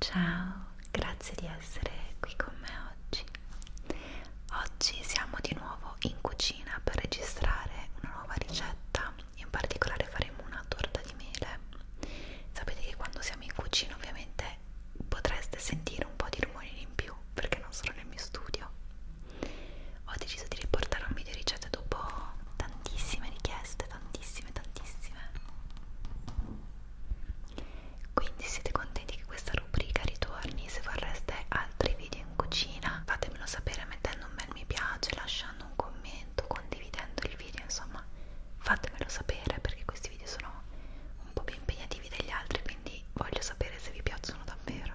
Ciao, grazie di essere qui con me oggi? Oggi siamo di nuovo in cucina per registrare una nuova ricetta, in particolare faremo una torta di mele. Sapete che quando siamo in cucina ovviamente potreste sentire un po' di rumori in più perché non sono nel mio studio. Ho deciso di riportare un video ricetta dopo tantissime richieste, tantissime, tantissime quindi siete contenti che questa rubrica ritorni se vorreste altri video in cucina fatemelo sapere mettendo un bel mi piace lasciando un commento condividendo il video insomma fatemelo sapere perché questi video sono un po' più impegnativi degli altri quindi voglio sapere se vi piacciono davvero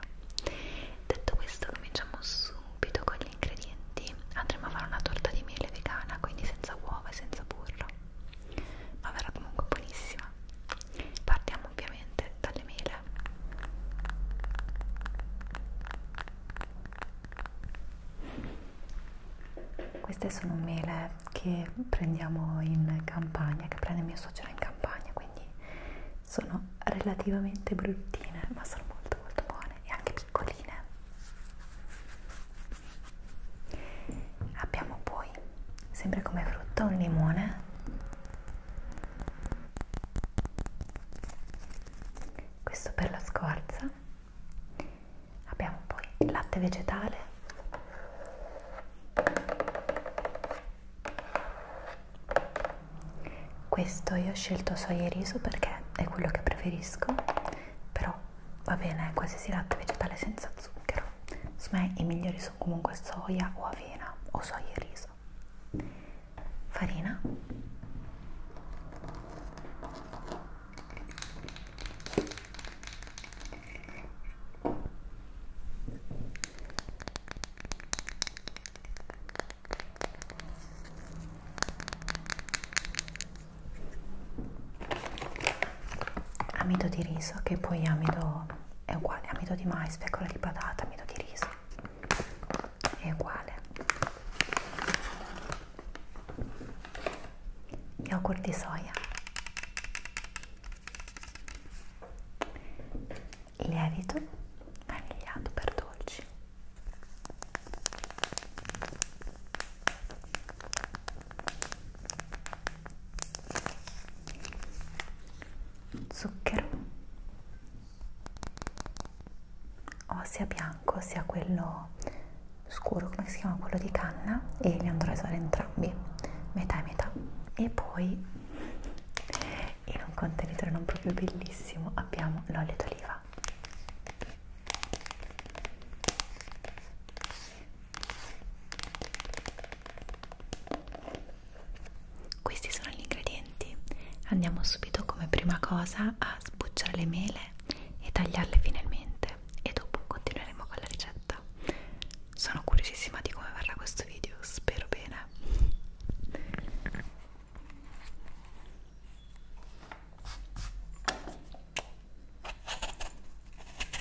detto questo cominciamo subito con gli ingredienti andremo a fare una torta di miele vegana quindi senza uova e senza burro ma verrà comunque buonissima partiamo ovviamente dalle mele queste sono mele che prendiamo in campagna che prende mio suocero in campagna quindi sono relativamente bruttine ma sono molto molto buone e anche piccoline abbiamo poi sempre come frutta un limone questo per la scorza abbiamo poi il latte vegetale questo io ho scelto soia e riso perché è quello che preferisco però va bene qualsiasi latte vegetale senza zucchero insomma i migliori messo comunque soia o avena o soia e riso farina amido di riso che poi amido è uguale amido di mais, fecola di patata, amido di riso è uguale yogurt di soia lievito vanigliato per dolci zucchero o sia bianco sia quello scuro come si chiama quello di canna e li andrò a usare entrambi metà e metà e poi in un contenitore non proprio bellissimo abbiamo l'olio d'oliva questi sono gli ingredienti. Andiamo subito come prima cosa a sbucciare le mele e tagliarle finalmente e dopo continueremo con la ricetta. Sono curiosissima di come verrà questo video, spero bene.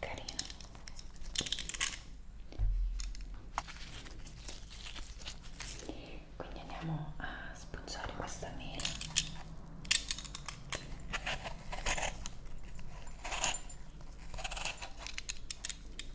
carino quindi andiamo a spuggiare questa mela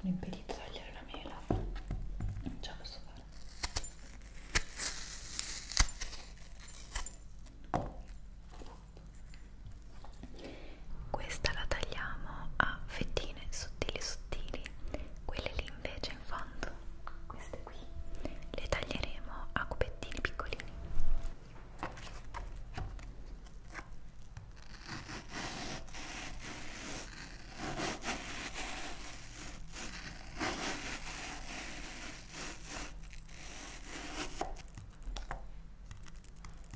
Sono impedito di tagliare la mela, non ce la posso fare questa la tagliamo a fettine sottili sottili quelle lì invece in fondo queste qui le taglieremo a cubettini piccolini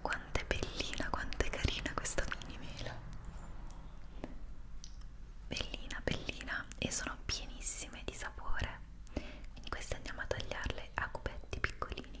Quanto è bellina, quanto è carina questa mini mela. Bellina, bellina e sono pienissime di sapore. Quindi queste andiamo a tagliarle a cubetti piccolini.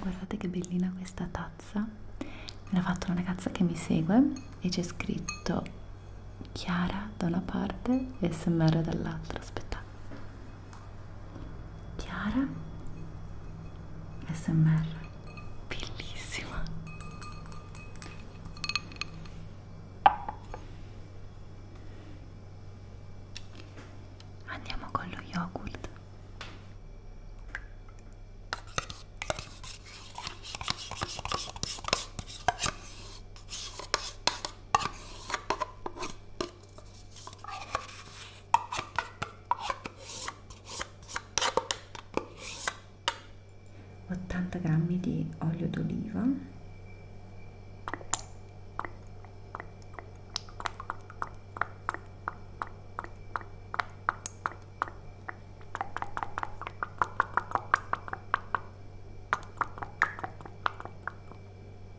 Guardate che bellina questa tazza, me l'ha fatta una ragazza che mi segue e c'è scritto Chiara da una parte e SMR dall'altra, aspetta Chiara SMR bellissima andiamo con lo yogurt 80 grammi di olio d'oliva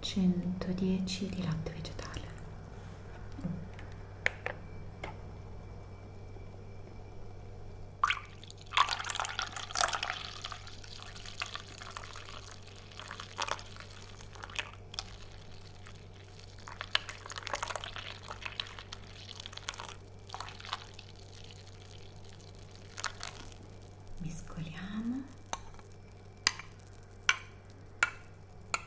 110 di latte vegetale mescoliamo che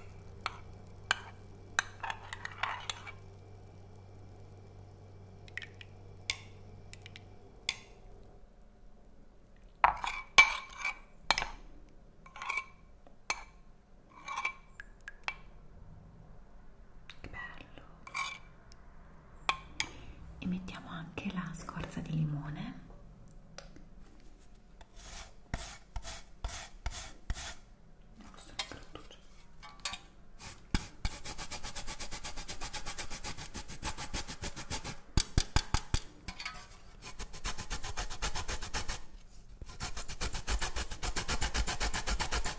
bello e mettiamo anche la scorza di limone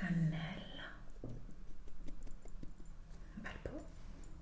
Cannella, un bel po'.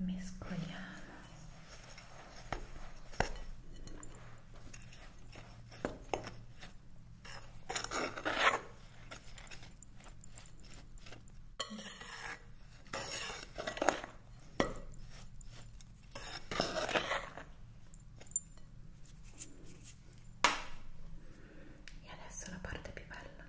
mescoliamo e adesso la parte più bella.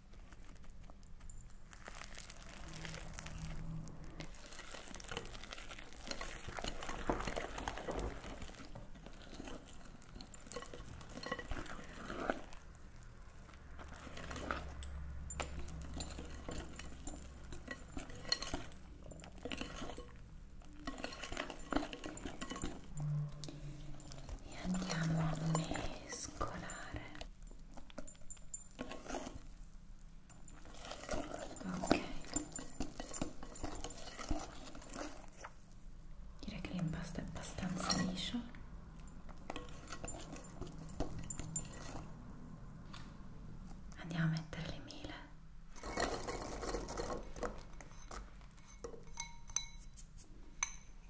e andiamo a mescolare ok direi che l'impasto è abbastanza liscio andiamo a mettere le mele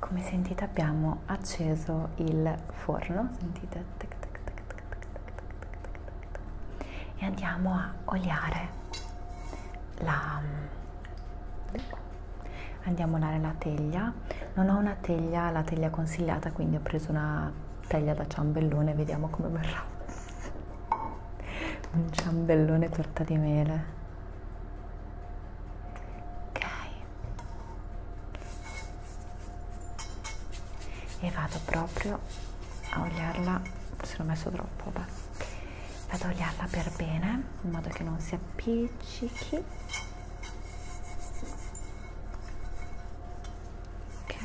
Come sentite abbiamo acceso il forno, sentite? Tac, tac, tac, tac, tac, tac, tac, tac. E andiamo a oliare la, andiamo a olare la teglia. Non ho una teglia, la teglia consigliata, quindi ho preso una teglia da ciambellone, vediamo come verrà. Un ciambellone torta di mele ok e vado proprio a oliarla forse l'ho messo troppo vabbè. vado a oliarla per bene in modo che non si appiccichi ok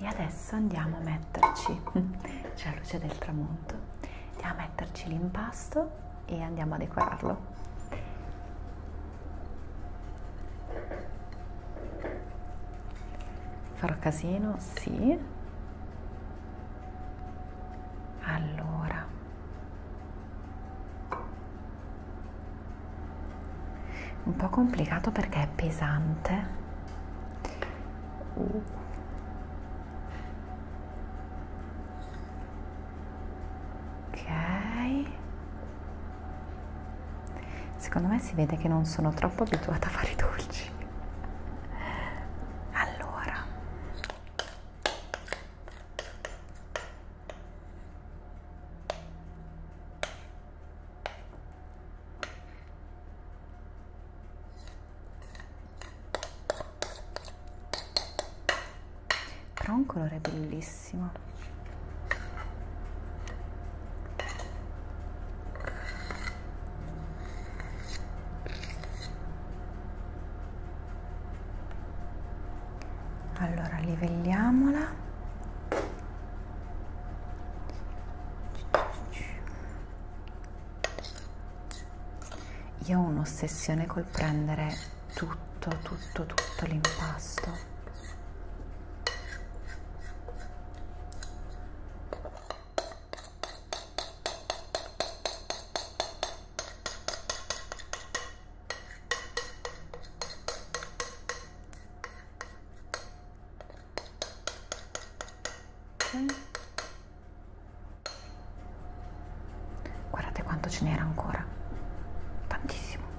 E adesso andiamo a metterci, c'è la luce del tramonto, andiamo a metterci l'impasto e andiamo a decorarlo. Farò casino? Sì. Allora. Un po' complicato perché è pesante. Uh. Ok. Secondo me si vede che non sono troppo abituata a fare i dolci. Allora, però un colore bellissimo benissimo. Allora livelliamola. Io ho un'ossessione col prendere tutto, tutto, tutto l'impasto Guardate quanto ce n'era ancora, tantissimo.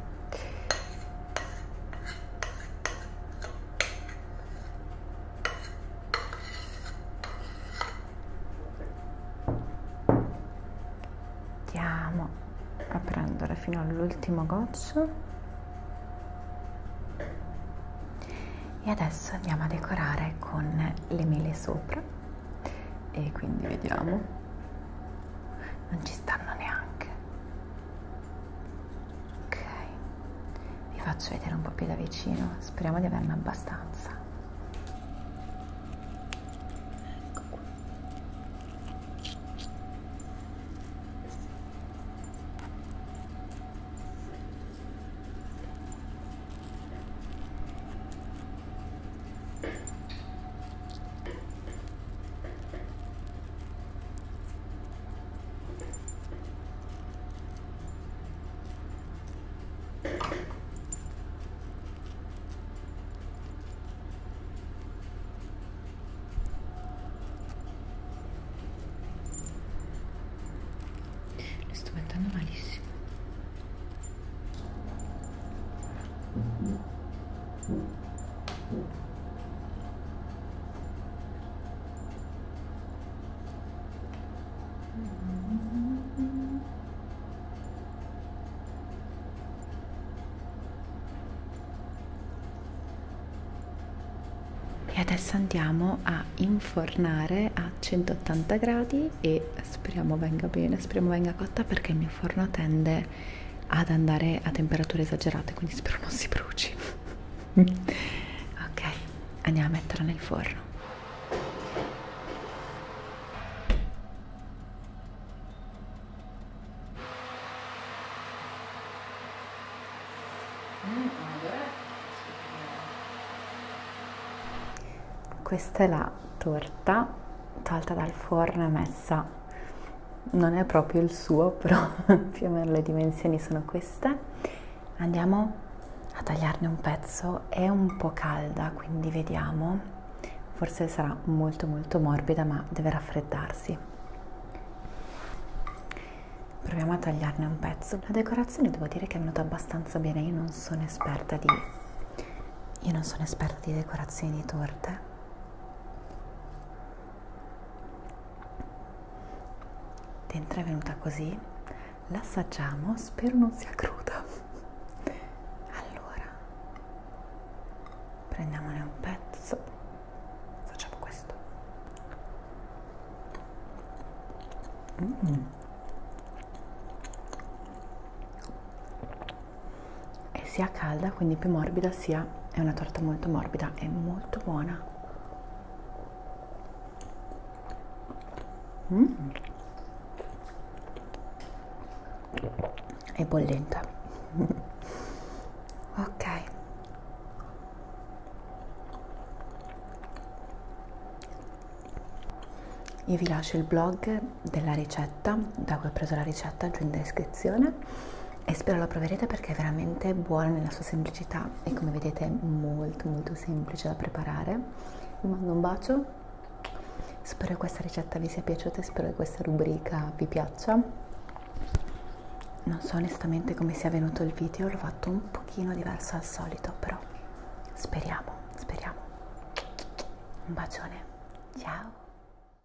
Andiamo a prendere fino all'ultimo goccio. E adesso andiamo a decorare con le mele sopra. E quindi vediamo. Non ci stanno neanche ok vi faccio vedere un po' più da vicino speriamo di averne abbastanza ecco qua le sto mettendo malissimo. E adesso andiamo a infornare a 180 gradi e speriamo venga bene, speriamo venga cotta perché il mio forno tende ad andare a temperature esagerate quindi spero non si bruci ok andiamo a metterla nel forno questa è la torta tolta dal forno e messa non è proprio il suo, però più o meno le dimensioni sono queste. Andiamo a tagliarne un pezzo, è un po' calda, quindi vediamo, forse sarà molto molto morbida, ma deve raffreddarsi. Proviamo a tagliarne un pezzo. La decorazione devo dire che è venuta abbastanza bene, io non sono esperta di io non sono esperta di decorazioni di torte dentro è venuta così l'assaggiamo spero non sia cruda allora prendiamone un pezzo facciamo questo mm e sia calda quindi più morbida sia è una torta molto morbida è molto buona mm. è bollente ok io vi lascio il blog della ricetta ricetta da cui ho preso la ricetta giù in descrizione e spero la proverete perché è veramente buona nella sua semplicità e come vedete è molto molto semplice da preparare vi mando un bacio spero che questa ricetta vi sia piaciuta e spero che questa rubrica vi piaccia non so onestamente come sia venuto il video l'ho fatto un pochino diverso al solito però speriamo speriamo un bacione ciao